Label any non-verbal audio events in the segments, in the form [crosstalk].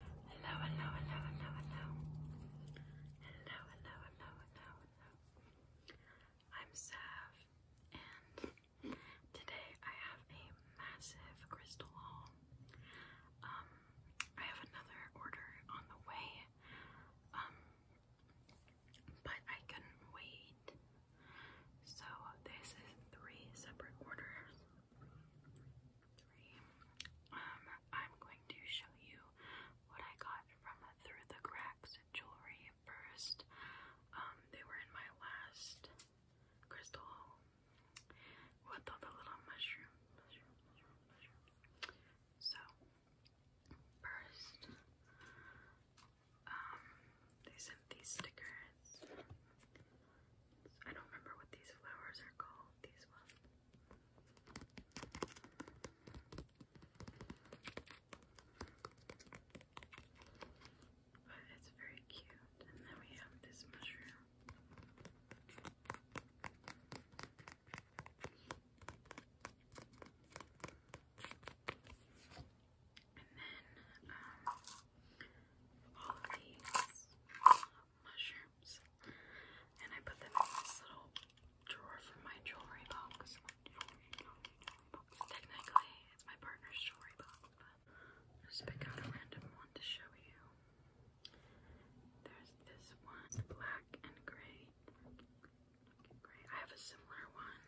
Hello, hello, hello, hello, hello. Hello, hello, hello, hello, I'm Sav, and today I have a massive crystal haul. Um, I have another order on the way, um, but I could wait. So this is three separate orders. Um, I'm going to show you what I got from Through the Cracks jewelry first. Um, they were in my last crystal with all the little mushroom. So, first, um, they sent these stickers. I don't remember what these flowers are called, these ones. But it's very cute. And then we have this mushroom. And then um, all of these mushrooms. And I put them in this little drawer from my jewelry box. Technically, it's my partner's jewelry box, but I'll just pick out a random one to show you. There's this one, black and gray. I have a similar one.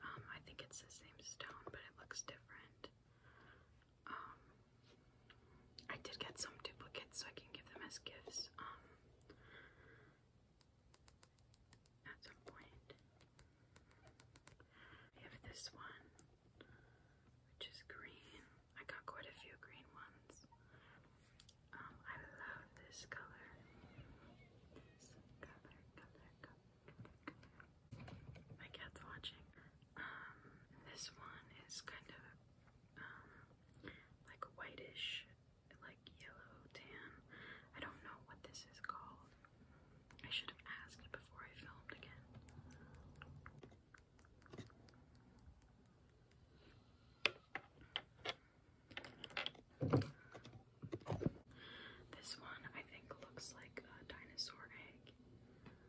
Um, I think it's the same stone, but it looks different. Um, I did get some duplicates so I can give them as gifts um, at some point. I have this one, which is green. I got quite a few green ones. Um, I love this color. My cat's watching. Um, this one is kind of um, like whitish, like yellow tan. I don't know what this is called. I should have asked before I filmed again. This one I think looks like a dinosaur egg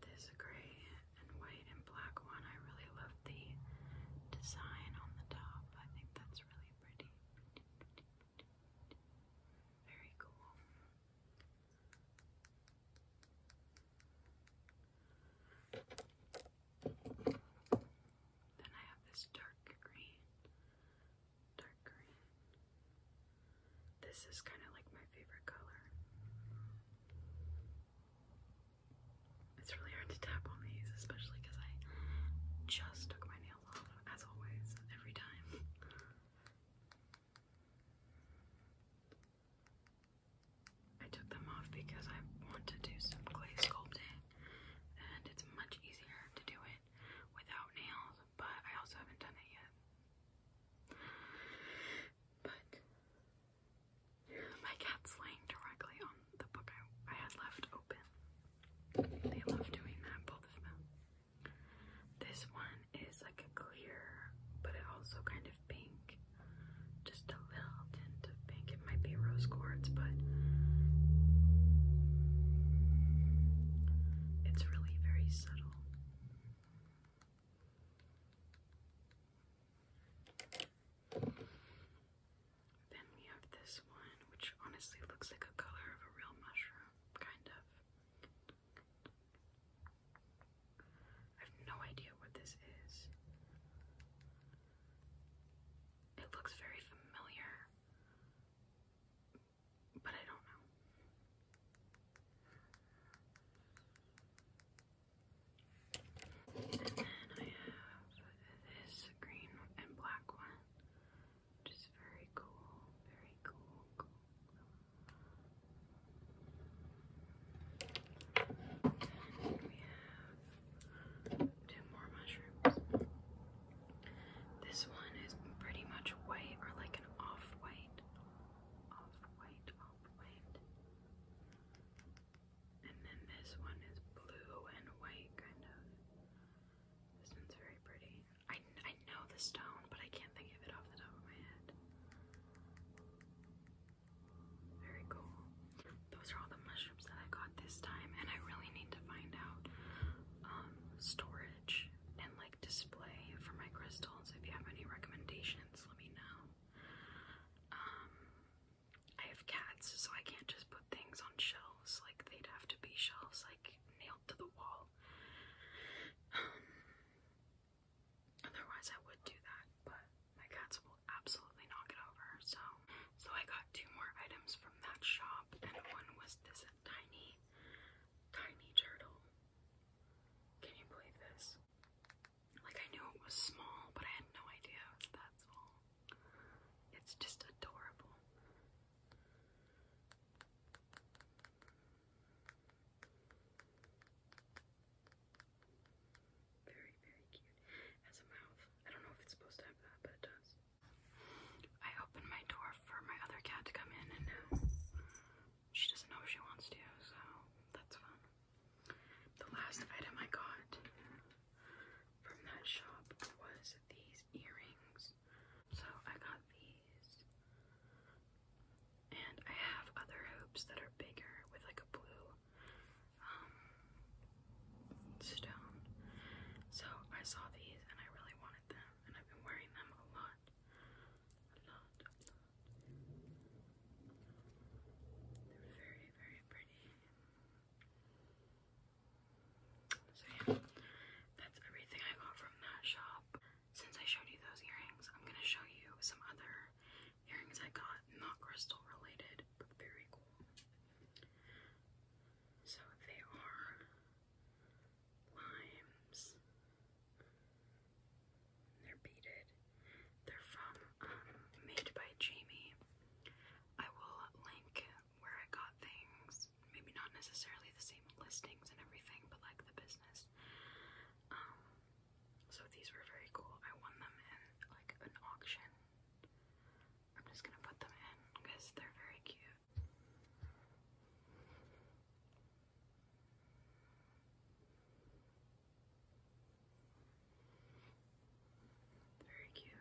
This gray and white and black one. I really love the design on the top. I think that's really pretty. Very cool. Then I have this dark green dark green. This is kind of like my favorite color. It's really hard to tap on these, especially because I just took my nails off, as always, every time. I took them off because I want to do some clay sculpting, and it's much easier to do it without nails but I also haven't done it yet. But my cat's laying directly on the book I, I had left open. They love doing that, both of them. This one is like a clear, but it also kind of pink. Just a little tint of pink. It might be rose quartz, but it's really very subtle. Then we have this one, which honestly looks like a color of a real mushroom, kind of. I have no idea what this is. It looks very familiar, but I don't know. And then I have this green and black one, which is very cool, very cool, we have two more mushrooms. This one is pretty much white or like an off-white. Off-white, off-white. And then this one is blue and white kind of. This one's very pretty. I, I know the stone, but I can't think of it off the top of my head. Very cool. Those are all the mushrooms that I got this time, and I really need to find out um, storage and like display for my crystals. If you have any recommendations, let me know. Um, I have cats, so I can't just put things on shelves. Like they'd have to be shelves, like nailed to the wall. Um, otherwise, I would do that, but my cats will absolutely knock it over. So, so I got two more items from that shop, and one was this tiny, tiny turtle. Can you believe this? Like, I knew it was small, but I had no idea it was that small. It's just adorable. Very, very cute. Has a mouth. I don't know if it's supposed to have that, but it does. I opened my door for my other cat to come in, and uh, she doesn't know if she wants to, so that's fun. The last item I got from that shop was these earrings. So I got these, and I have other hoops that are bigger with like a blue um, stone. So I saw these and I really really wanted them, and I've been wearing them a lot. A lot, a lot. They're very, very pretty. So yeah, that's everything I got from that shop. Since I showed you those earrings, I'm gonna show you some other earrings I got, not crystal related, but very cool. So they are limes. They're beaded. They're from um, Made by Jamie. I will link where I got things. Maybe not necessarily the same listings and everything, but like the business. Um, so these were very cool. I won them in like an auction. I'm just gonna put them in because they're very cute. Very cute.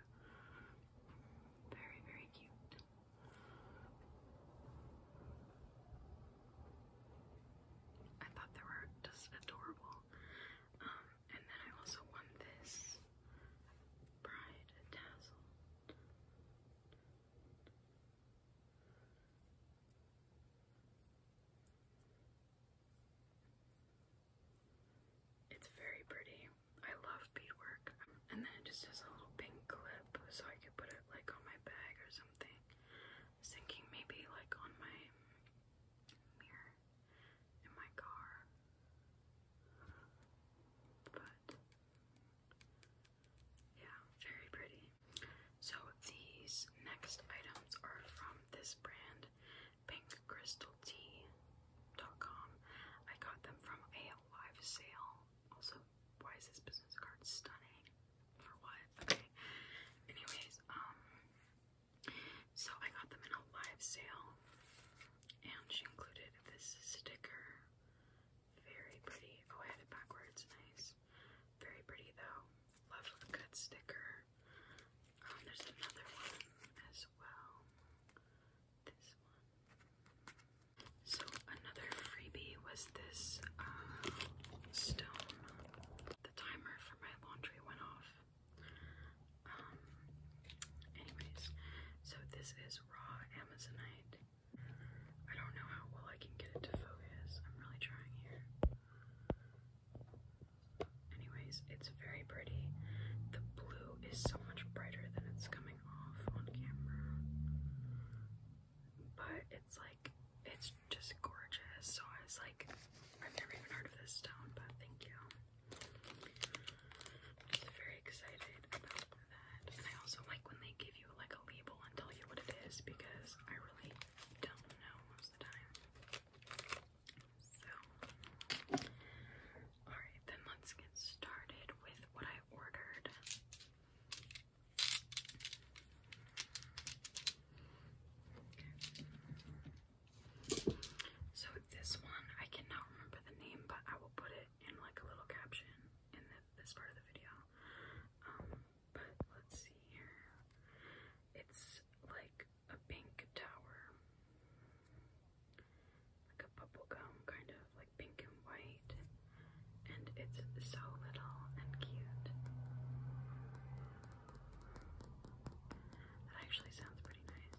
Very, very cute. I thought they were just adorable. Um, and then I also won this bride tassel. It's very pretty. I love beadwork. And then it just has a little pink clip so I could put it like on my bag or something. I was thinking maybe like on my mirror in my car. But yeah, very pretty. So these next items are from this brand, pinkcrystaltea.com. I got them from a live sale. Also, why is this business card stunning? For what? Okay. Anyways, um so I got them in a live sale and she included this sticker. Very pretty. Oh, I had it backwards. Nice. Very pretty, though. Love a good sticker. Um, there's another one as well. This one. So, another freebie was this uh, stone. The timer for my laundry went off. Um, anyways, so this is raw Amazonite. I don't know how well I can get it to focus. I'm really trying here. Anyways, it's very pretty. The blue is so much brighter than it's coming off on camera. But it's like, it's just gorgeous. So I was like, I've never even heard of this stone, but thank you. I am very excited about that. And I also like when they give you like a label and tell you what it is because I really don't know most of the time. So, alright, then let's get started with what I ordered. So, this one, I cannot remember the name, but I put it in like a little caption in this part of the video. Um, let's see here. It's like a pink tower, a bubblegum kind of like pink and white, and it's so little and cute. That actually sounds pretty nice.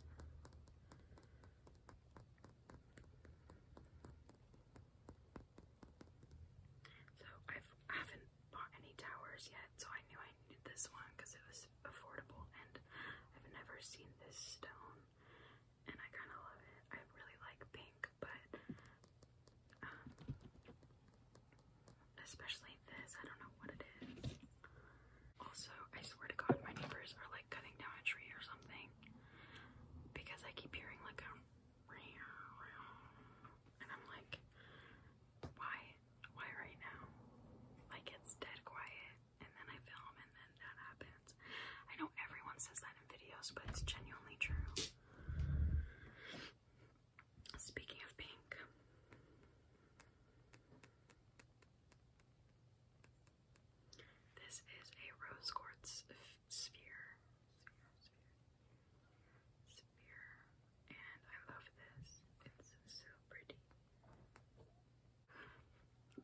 So I've, I haven't bought any towers yet, so I knew I needed this one because it was affordable, and I've never seen this stone, and I kind of love it. I really like pink, but um, especially this. I don't know what it is. Also, I swear to God, my neighbors are like cutting down a tree or something because I keep hearing like a and I'm like, why? Why right now? Like it's dead quiet, and then I film, and then that happens. I know everyone says that in videos, but it's genuinely true. Speaking of pink. This is a rose quartz sphere. And I love this. It's so pretty.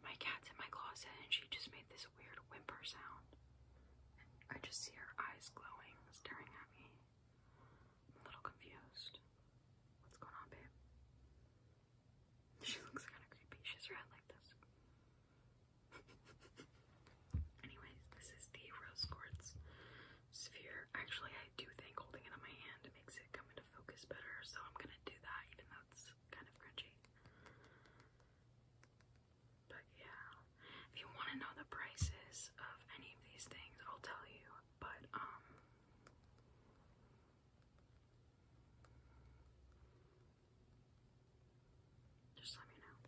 My cat's in my closet and she just made this weird whimper sound. I just see her eyes glowing, staring at me. I'm a little confused. What's going on, babe? She looks kind of creepy. She's around like this. [laughs] Anyways, this is the rose quartz sphere. Actually, I do think holding it in my hand makes it come into focus better, so I'm gonna do that even though it's kind of crunchy. But yeah, if you want to know the prices of any of these things, I'll tell you. But um, just let me know.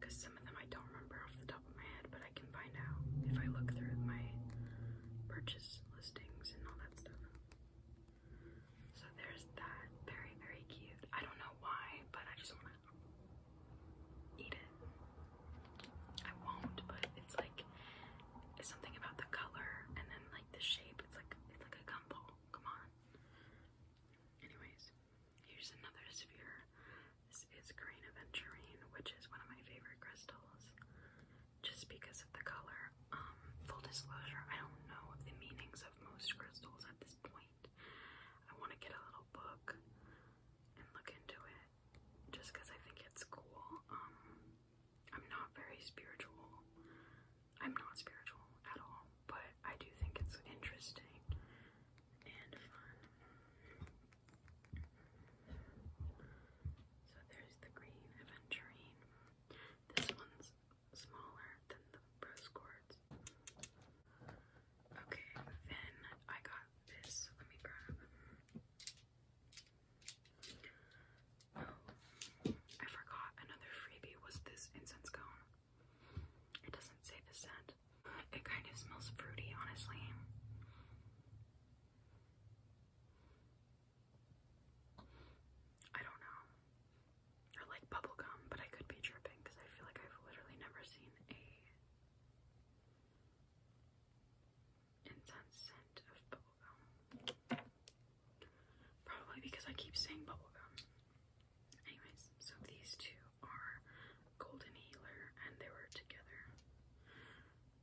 Because some of them I don't remember off the top of my head, but I can find out if I look through my purchase listings and all that stuff. So there's that. Very, very cute. I don't know why, but I just want to eat it. I won't, but it's like something about the color and then like the shape. It's like it's like a gumball. Come on. Anyways, here's another sphere. This is green aventurine, which is one of my favorite crystals, just because of the color. Um, full disclosure, I don't know the meanings of most crystals at this point. I want to get a little book and look into it just because I think it's cool. Um, I'm not very spiritual. I'm not spiritual at all, but I do think it's interesting and fun. So there's the green aventurine. This one's smaller than the rose quartz. Okay, then I got this. Let me grab Oh, I forgot another freebie was this incense cone. It doesn't say the scent. It kind of smells fruity, honestly. I don't know. Or like bubblegum, but I could be tripping because I feel like I've literally never seen a intense scent of bubblegum. Probably because I keep saying bubblegum. Anyways, so these two are Golden Healer and they were together.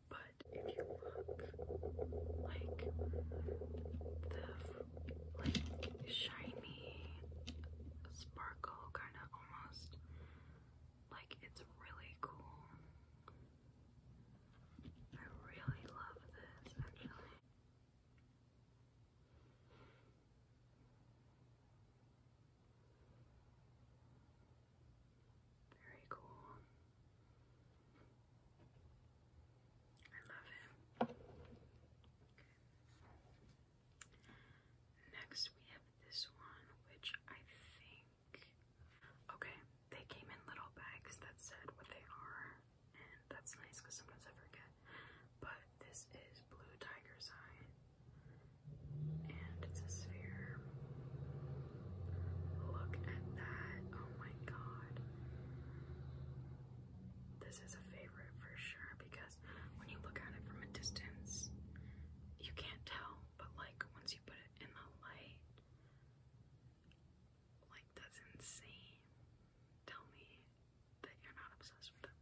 But if you look, like the like shiny sparkle kind of almost like, it's really cool. I really love this actually. Very cool. I love it. Okay. Next, we have this one, which I think Okay, they came in little bags that said what they are, and that's nice because sometimes I forget. But this is Blue Tiger's Eye, and it's a sphere. Look at that! Oh my god. This is a favorite for sure because when you look at it from a distance, you can't tell, but like once you put it in the light. Like, that's insane. Tell me that you're not obsessed with it.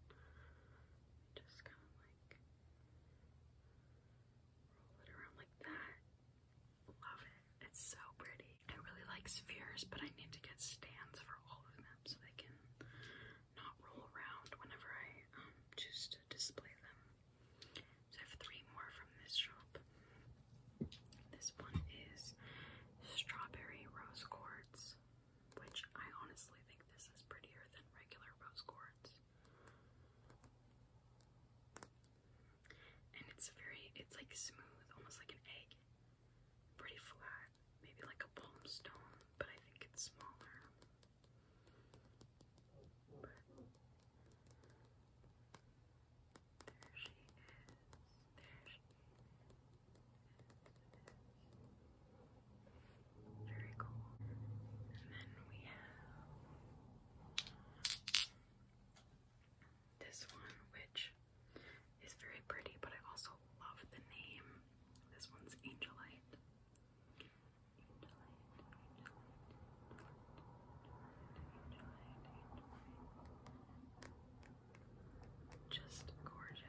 Just kind of like roll it around like that. Love it. It's so pretty. I really like spheres, but I need to get stands for all of them so they can not roll around whenever I um, choose to display them. So three more from this shop. This one is strawberry rose quartz, which I honestly think this is prettier than regular rose quartz. And it's very, it's like smooth, almost like an egg. Pretty flat, maybe like a palm stone, but I think it's smaller is. Very cool. And then we have this one, which is very pretty, but I also love the name. This one's Angelite. Just gorgeous.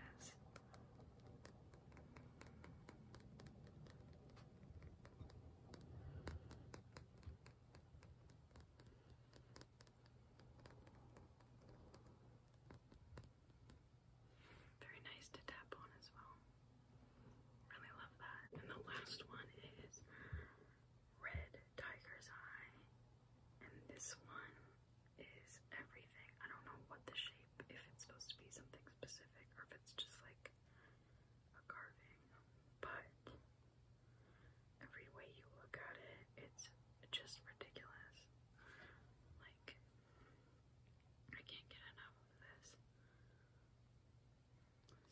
Very nice to tap on as well. Really love that. And the last one is Red Tiger's Eye. And this one is everything. I don't know what the shape, if it's supposed to be something specific or if it's just like a carving. But every way you look at it, it's just ridiculous. Like I can't get enough of this.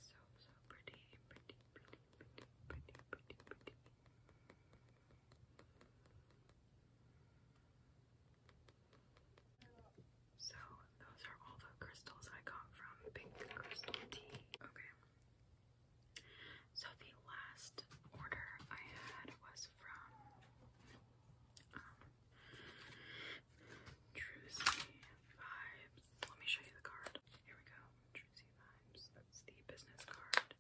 so, so pretty, pretty, pretty, pretty, pretty, pretty, pretty. So, those are all the crystals I got from Pink Crystal Tea. Okay. So, the last order I had was from um, Trucy Vibes. Let me show you the card. Here we go. Trucy Vibes. That's the business card.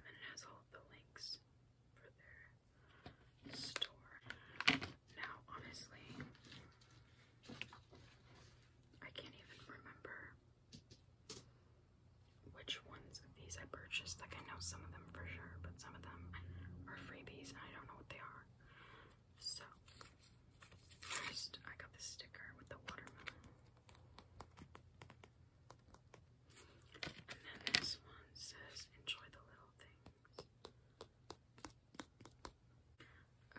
And then it has all the links for their store. Now, honestly, I can't even remember which ones of these I purchased. Like, I know some of them for sure, but some of them are freebies, and I don't know they are. So, first I got this sticker with the watermelon. And then this one says, enjoy the little things.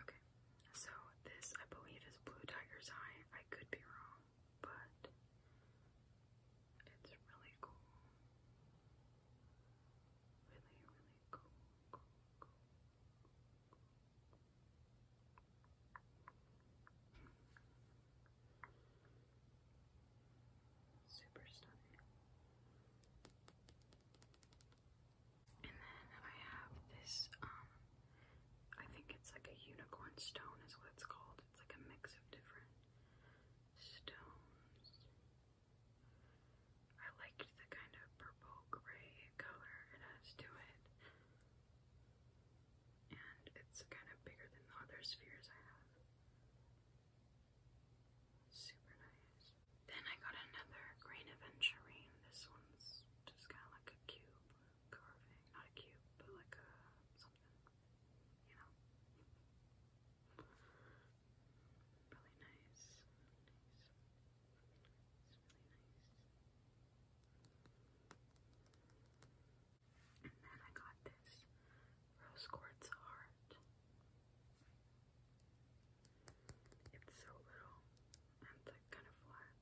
Okay, so this I believe is Blue Tiger's Eye. I could be wrong, but it's really cool. Really, really cool. Super stunning. And then I have this, um, I think it's like a unicorn stone, is what it's called. It's like a mix of different stones. I liked the kind of purple gray color it has to it. And it's kind of bigger than the other spheres I have. Super nice. Then I got another green aventurine. This one's just kind of like a cube carving. Not a cube, but like a something, you know. Really nice. nice. It's really nice. And then I got this rose quartz heart. It's so little and like kind of flat.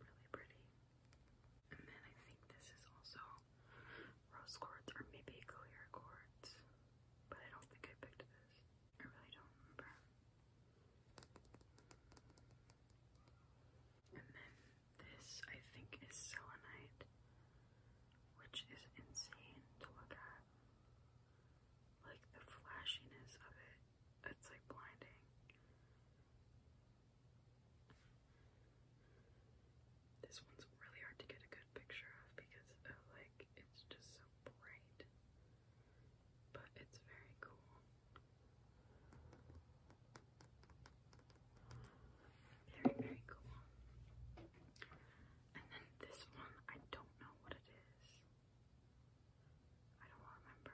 Really pretty. And then I think this is also rose quartz or maybe clear quartz. But I don't think I picked this. I really don't remember. And then this I think is selenite, which is insane to look at. Like the flashiness of it, it's like blinding. This one's really hard to get a good picture of because like it's just so bright. But it's very cool. Very, very cool. And then this one, I don't know what it is. I don't remember.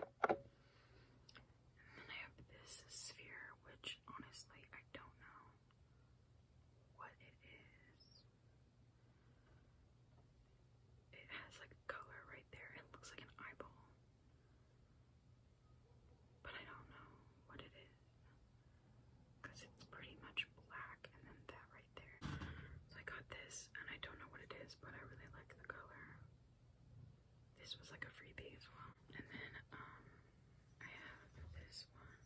I have this sphere, which honestly I don't know what it is. It has like a color right there. It looks like an eyeball. But I don't know what it is. Because it's pretty much black, and then that there. So I got this, and I don't know what it is, but I really like the color. This was like a freebie as well. And then um, I have this one,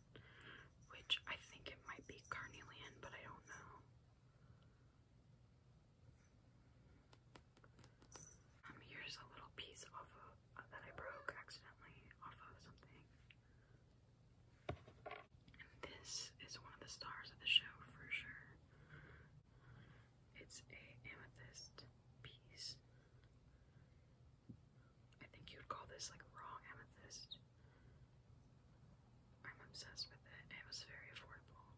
which I think it might be carnelian, but I don't know. Um, here's a little piece off of uh, that I broke accidentally off of something. This is one of the stars of the show for sure. It's a amethyst piece. I think you'd call this like raw amethyst. I'm obsessed with it. It was very affordable.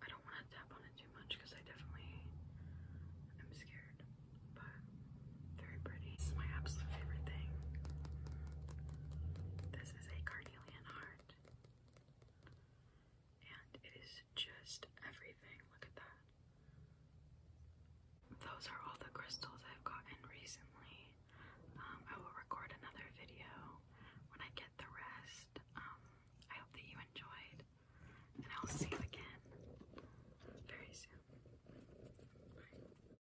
I don't want to tap on it too much because I definitely am scared. But very pretty. This is my absolute favorite thing. This is a carnelian heart. And it is just everything. Look at that. Those are all the crystals I've gotten recently. Um, I will record another video when I get the rest. Um, I hope that you enjoyed, and I'll see you again very soon. Bye.